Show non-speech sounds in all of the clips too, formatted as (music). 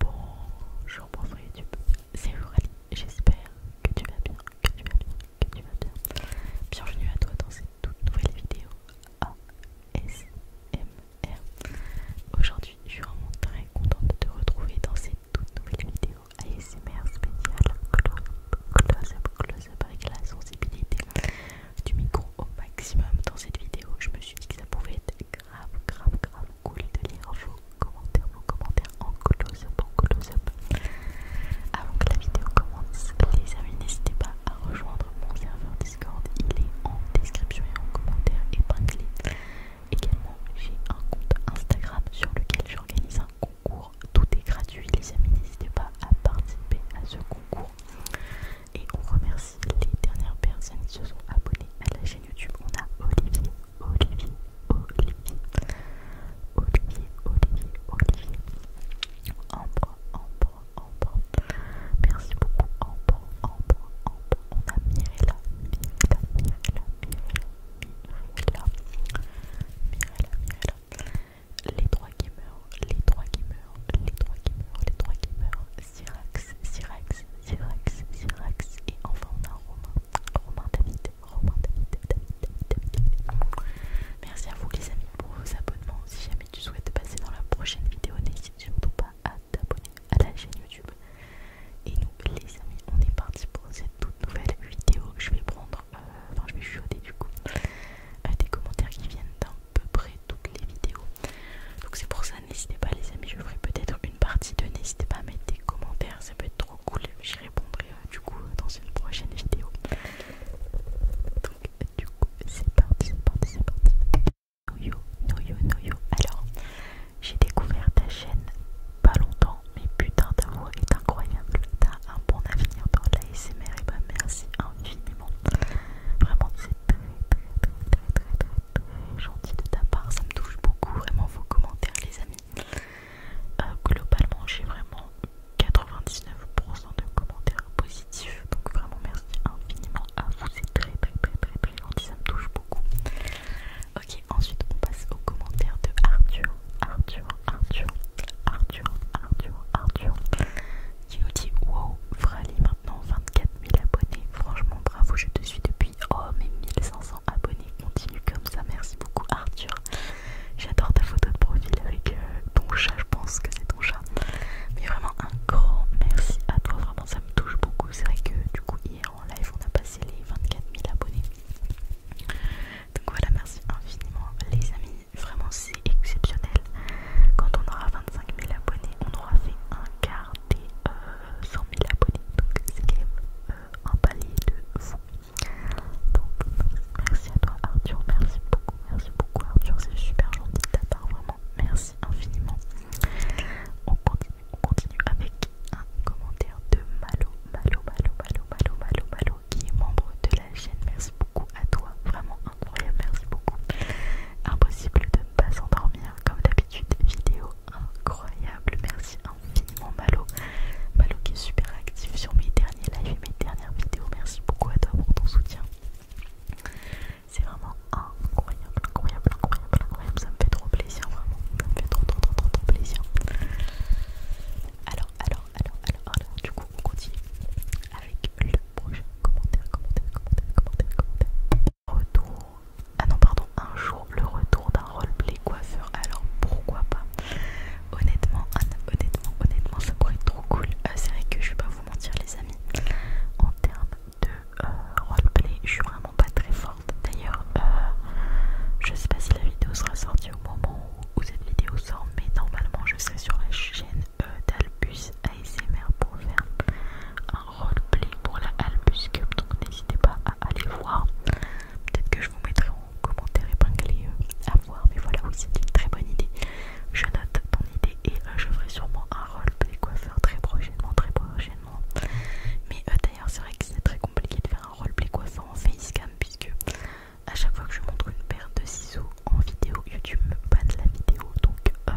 Bonjour, bonsoir YouTube, c'est Aurélie, j'espère que tu vas bien, que tu vas bien, que tu vas bien. Bienvenue à toi dans cette toute nouvelle vidéo ASMR. Aujourd'hui, je suis vraiment très contente de te retrouver dans cette toute nouvelle vidéo ASMR spéciale close-up, close-up avec la sensibilité du micro au maximum dans cette vidéo. Je me suis dit que ça pouvait être grave, grave, grave cool de lire vos commentaires, vos commentaires en close en close-up. Avant que la vidéo commence, les amis, n'hésitez pas à rejoindre mon serveur Discord. Il est en description et en commentaire épinglé. Également, j'ai un compte Instagram sur lequel j'organise un concours. Tout est gratuit, les amis, n'hésitez pas à participer à ce concours. Et on remercie les dernières personnes qui se sont abonnées à la chaîne YouTube. On a Olivier, Olivier, Olivier, Olivier, Olivier, Olivier, Ambre, Ambre, Ambre. Merci beaucoup, Ambre, Ambre, Ambre. On a Mirella, Mirella, Mirella, Mirella, Mirella, Mirella, Mirella. Les trois gamers, les trois gamers, les trois gamers, les trois gamers. Syrax, Syrax, Syrax, Syrax. Et enfin, on a Romain, Romain David, Romain David, David, David, David. Merci à vous, les amis, pour vos abonnements. Si jamais tu souhaites passer dans la prochaine vidéo, n'hésite surtout pas à t'abonner à la chaîne YouTube. Et nous, les amis, on est parti pour cette toute nouvelle vidéo. Je vais prendre, euh, enfin, je vais chuchoter du coup, à euh, des commentaires qui viennent dans peu près toutes les vidéos. Donc c'est pour ça, n'hésitez pas les amis, je ferai peut-être une partie de n'hésitez pas à mettre des commentaires, ça peut être trop cool, j'y répondrai hein, du coup dans une prochaine vidéo. Donc du coup c'est parti, c'est parti, c'est parti. Noyo, noyo, noyo. Alors, j'ai découvert ta chaîne pas longtemps, mais putain ta voix est incroyable, t'as un bon avenir dans l'ASMR et bah merci infiniment. Vraiment très très très très très très gentil de ta part, ça me touche beaucoup vraiment vos commentaires les amis. globalement j'ai vraiment 99% de commentaires positifs, donc vraiment merci infiniment à vous, c'est très très très très très gentil, ça me touche beaucoup. Ok, ensuite on passe aux commentaires de Arthur, Arthur, Arthur, Arthur, Arthur, Arthur, qui nous dit Wow, Frali maintenant 24 000 abonnés. Franchement, bravo, je te suis depuis. Oh, mes 1500 abonnés, continue comme ça. Merci beaucoup, Arthur. J'adore ta photo de profil avec euh, ton chat, je pense que c'est ton chat. Mais vraiment, un grand merci à toi. Vraiment, ça me touche beaucoup. C'est vrai que du coup, hier en live, on a passé les 24 000 abonnés. Donc voilà, merci infiniment, les amis vraiment si exceptionnel. Quand on aura 25 000 abonnés, on aura fait un quart des 100 euh, 000 abonnés. Donc c'est quand même euh, un palier de fou. Donc merci à toi Arthur, merci beaucoup, merci beaucoup Arthur, c'est super gentil de ta part, vraiment. Merci infiniment. On continue, avec un commentaire de Malo, Malo, Malo, Malo, Malo, Malo, Malo, qui est membre de la chaîne. Merci beaucoup beaucoup à toi, vraiment incroyable, merci beaucoup. Impossible de ne pas s'endormir, comme d'habitude, vidéo incroyable, merci infiniment Malo. Malo qui est super actif sur mes derniers lives et mes dernières vidéos, merci beaucoup à toi pour ton soutien. C'est vraiment incroyable, incroyable, incroyable, incroyable, ça me fait trop plaisir, vraiment, ça me fait trop, trop, trop, trop, trop plaisir. Alors, alors, alors, alors, alors, du coup, on continue avec le commentaire, commentaire, commentaire, commentaire, commentaire. Retour. Ah non, pardon, un jour le retour d'un roleplay coiffeur. Alors pourquoi pas Honnêtement, honnêtement, honnêtement, ça pourrait être trop cool. Euh, c'est vrai que je vais pas vous mentir, les amis. En termes de euh, roleplay, je suis vraiment pas très forte. D'ailleurs, euh, je sais pas si la vidéo sera sortie au moment où cette vidéo sort, mais normalement, je serai sur la chaîne d'Albus ASMR pour faire un roleplay pour la Albus Cup. Donc n'hésitez pas à aller voir. Peut-être que je vous mettrai en commentaire épinglé euh, à voir. Mais voilà, oui, c'est une très bonne idée. Je note ton idée et euh, je ferai sûrement un roleplay coiffeur très prochainement, très prochainement. Mais euh, d'ailleurs, c'est vrai que c'est très compliqué de faire un roleplay coiffeur en facecam puisque à chaque fois que je montre une paire de ciseaux en vidéo, YouTube me banne la vidéo donc euh,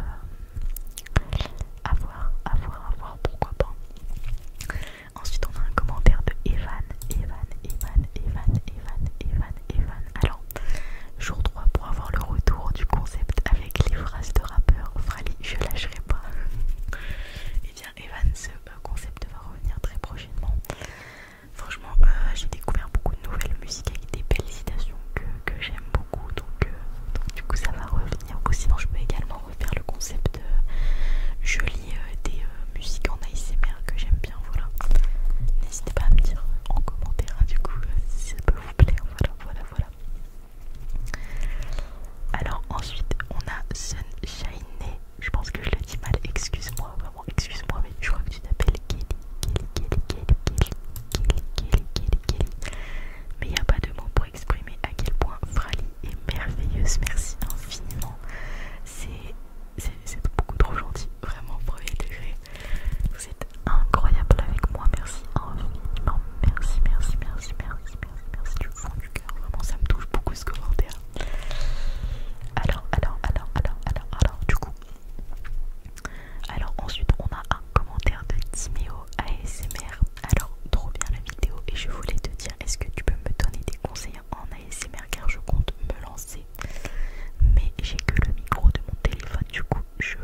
à voir, à voir, à voir, pourquoi pas. Ensuite, on a un commentaire de Evan, Evan, Evan, Evan, Evan, Evan, Evan. Alors, jour 3 pour avoir le retour du concept avec les phrases de rappeur Frali, je lâcherai pas. (laughs) Et eh bien, Evan, ce euh, concept va revenir très prochainement. Franchement, euh, j'ai découvert beaucoup de nouvelles musiques avec des belles citations que, j'aime beaucoup. Euh, donc, du coup, ça va revenir. Ou sinon, je peux également refaire le concept joli je lis euh, des musiques en ASMR que j'aime bien. Voilà. N'hésitez pas à me dire en commentaire, hein, du coup, si ça peut vous plaire. Voilà, voilà, voilà. Alors, ensuite, on a Sunshine je pense que je le dis mal, excuse-moi, vraiment, excuse-moi, mais je crois que tu t'appelles Kelly, Kelly, Kelly, Kelly, Kelly, Kelly, Kelly, Kelly, Kelly. Mais il n'y a pas de mots pour exprimer à quel point Frali est merveilleuse, merci infiniment. C'est beaucoup trop gentil, vraiment, premier degré. Vous êtes incroyable avec moi, merci infiniment, merci, merci, merci, merci, merci, merci, du fond du cœur, vraiment, ça me touche beaucoup ce commentaire. Alors, alors, alors, alors, alors, alors, du coup. Alors ensuite on a un commentaire de Timéo ASMR. Alors trop bien la vidéo et je voulais te dire est-ce que tu peux me donner des conseils en ASMR car je compte me lancer. Mais j'ai que le micro de mon téléphone du coup je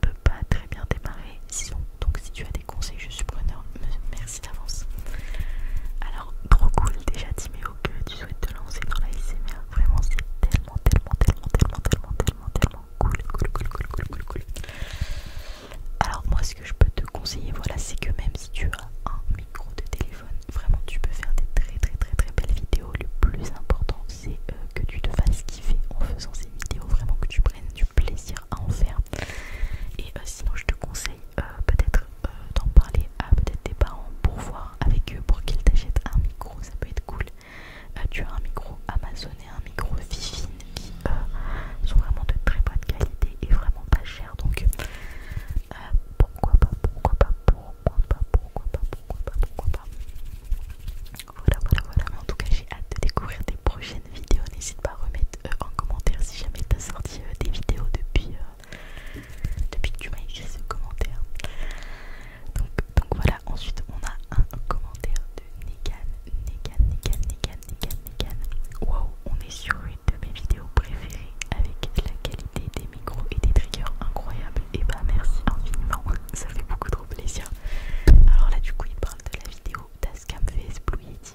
peux pas très bien démarrer. donc si tu as des conseils je suis preneur. Merci d'avance. Alors trop cool déjà Timéo que tu souhaites te lancer dans la SMR. Vraiment, c'est tellement, tellement, tellement, tellement, tellement, tellement, tellement cool, cool, cool, cool, cool, cool, cool. Alors moi, ce que je peux te conseiller, voilà, c'est que même si tu as un micro de téléphone, vraiment, tu peux faire des très, très, très, très belles vidéos. Le plus important, c'est euh, que tu te fasses kiffer en faisant ces vidéos, vraiment que tu prennes du plaisir à en faire. Et euh, sinon, je te conseille euh, peut-être euh, d'en parler à peut-être tes parents pour voir avec eux pour qu'ils t'achètent un micro, ça peut être cool. Euh, tu as un micro Amazon un micro Vivine qui sont vraiment de très bonne qualité et vraiment pas cher donc pourquoi pas, pourquoi pas, pourquoi pas, pourquoi pas, pourquoi pas, pourquoi pas. Voilà, voilà, voilà. En tout cas, j'ai hâte de découvrir tes prochaines vidéos. N'hésite pas à remettre en commentaire si jamais tu as sorti des vidéos depuis depuis que tu m'as écrit ce commentaire. Donc, donc voilà, ensuite on a un commentaire de Negan, Negan, Negan, Negan, Negan, Negan. Waouh, on est sur une de mes vidéos préférées avec la qualité des micros et des triggers incroyables. Et bah merci infiniment, ça fait beaucoup trop plaisir. Alors là, du coup, il parle de la vidéo d'Ascam VS Blue Yeti.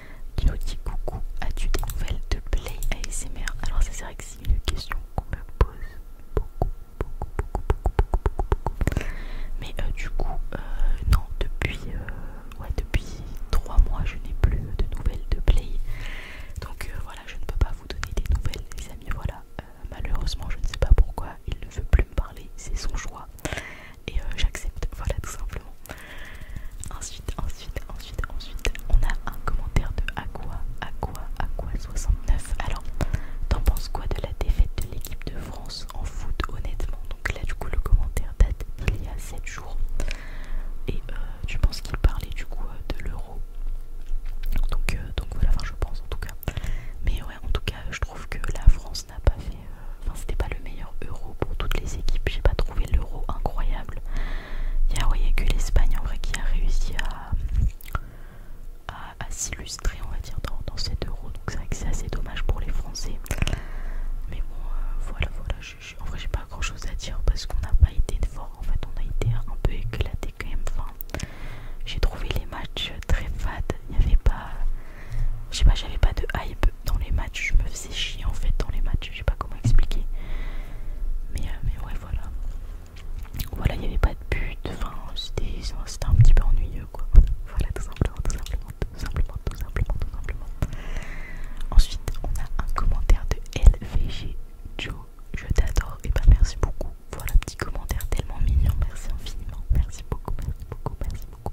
qui nous dit coucou, as-tu des nouvelles de Play ASMR Alors c'est vrai que c'est une question qu'on me pose beaucoup, beaucoup, beaucoup, beaucoup, beaucoup. Mais euh, du coup, euh, non, depuis, euh, ouais, depuis 3 mois je n'ai plus de nouvelles de Play. Donc voilà, je ne peux pas vous donner des nouvelles les amis, voilà. malheureusement je ne sais pas pourquoi il ne veut plus me parler, c'est son choix. Et j'accepte, voilà tout simplement. Ensuite, ensuite, ensuite, ensuite, on a un commentaire de Aqua, Aqua, Aqua69. Alors, t'en penses quoi de la défaite de l'équipe de France en foot, honnêtement Donc là, du coup, le commentaire date il y a 7 jours. Et euh, tu je pense qu'il parlait du coup euh, de l'euro. Donc, euh, donc voilà, enfin je pense en tout cas. Mais ouais, en tout cas, je trouve que la France n'a pas fait enfin c'était pas le meilleur euro pour toutes les équipes, j'ai pas trouvé l'euro incroyable. Il y a, que l'Espagne en vrai qui a réussi à, à, s'illustrer on va dire dans, cet euro, donc c'est vrai que c'est assez dommage pour les Français. Mais bon euh, voilà voilà, en vrai j'ai pas grand chose à dire parce qu'on n'a pas été fort en fait, on a été un peu éclaté quand même. j'ai trouvé les matchs très fades, il n'y avait pas... Je pas, j'avais pas de hype dans les matchs, je me faisais chier en fait dans les matchs, je sais pas comment expliquer. Mais, euh, mais ouais, voilà. Voilà, il n'y avait pas de but, enfin, c'était un petit peu ennuyeux quoi. Voilà, tout simplement, tout simplement, tout simplement, tout simplement, tout simplement. Ensuite, on a un commentaire de LVG Joe, je t'adore, et bah merci beaucoup. Voilà, petit commentaire tellement mignon, merci infiniment, merci beaucoup, merci beaucoup, merci beaucoup.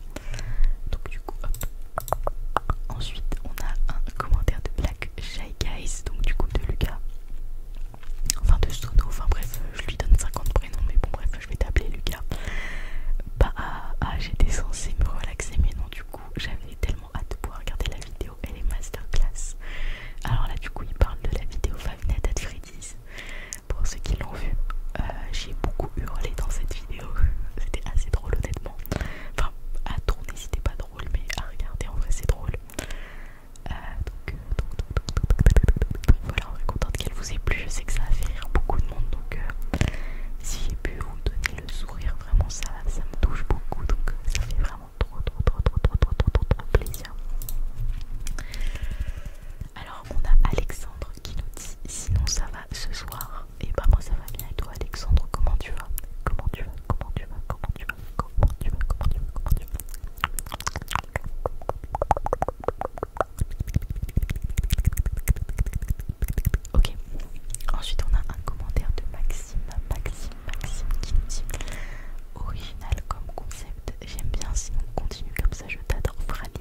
donc du coup Ensuite on a un commentaire de Black Shy Guys, donc du coup de Lucas. Enfin de Sono, enfin bref, euh, je lui donne 50 prénoms, mais bon bref, je vais t'appeler Lucas. Bah ah, j'étais censée me relaxer mais non du coup j'avais tellement hâte de pouvoir regarder la vidéo, elle est masterclass. Alors là du coup il parle de la vidéo Five à at Freddy's. Pour ceux qui l'ont vu, euh, j'ai beaucoup hurlé dans cette vidéo (laughs) C'était assez drôle, honnêtement. Enfin, à tourner, c'était pas drôle, mais à regarder, en vrai, c'est drôle. donc, voilà, on est contente qu'elle vous ait plu. Je sais que ça a fait rire beaucoup de monde, donc euh, si j'ai pu vous donner le sourire, vraiment, ça, me touche beaucoup. Donc, euh, ça fait vraiment trop, trop, trop, trop, trop, trop, trop, trop plaisir. Alors, on a Alexandre qui nous dit Sinon, ça va ce soir Et bah moi ça va bien et toi Alexandre comment tu vas Comment tu vas Comment tu vas Comment tu vas Comment tu vas Comment tu vas Comment tu vas Ok, ensuite on a un commentaire de Maxime, Maxime, Maxime qui nous dit Original comme concept, j'aime bien si on continue comme ça, je t'adore Franny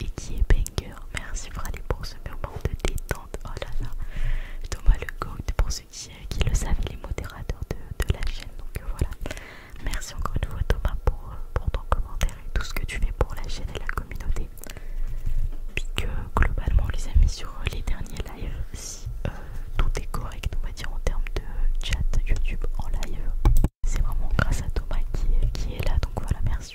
et qui est banger. Merci Frali pour ce moment de détente. Oh là là, Thomas le Goût pour ceux qui, euh, le savent, les modérateurs de, la chaîne. Donc euh, voilà, merci encore une fois Thomas pour, euh, pour ton commentaire et tout ce que tu fais pour la chaîne et la communauté. Puis globalement, les amis, sur les derniers lives, si tout est correct, on va dire en termes de chat YouTube en live, c'est vraiment grâce à Thomas qui, qui est là. Donc voilà, merci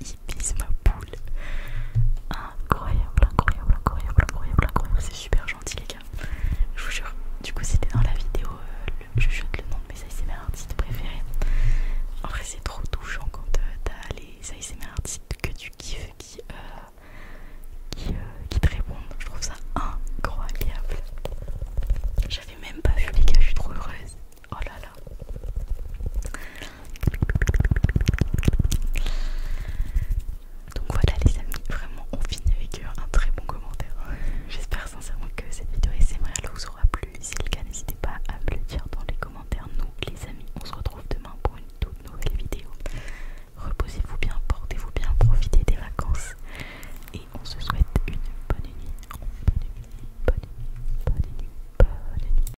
il bise ma poule. Incroyable, incroyable, incroyable, incroyable, incroyable. C'est super gentil, les gars. Je vous jure. Du coup, c'était dans la vidéo. Euh, je chante le nom de mes ASMR artistes préférés. En vrai, c'est trop touchant quand euh, t'as les ASMR artistes que tu kiffes qui, euh, qui te répondent. Je trouve ça incroyable. J'avais même pas vu, les gars. Je suis trop heureuse. Oh là là. Donc voilà les amis, vraiment on finit avec euh, un très bon commentaire. J'espère sincèrement que cette vidéo SMR vous aura plu. Si c'est le cas, n'hésitez pas à me le dire dans les commentaires. Nous les amis, on se retrouve demain pour une toute nouvelle vidéo. Reposez-vous bien, portez-vous bien, profitez des vacances. Et on se souhaite une bonne nuit. Bonne nuit, bonne nuit, bonne nuit, bonne nuit.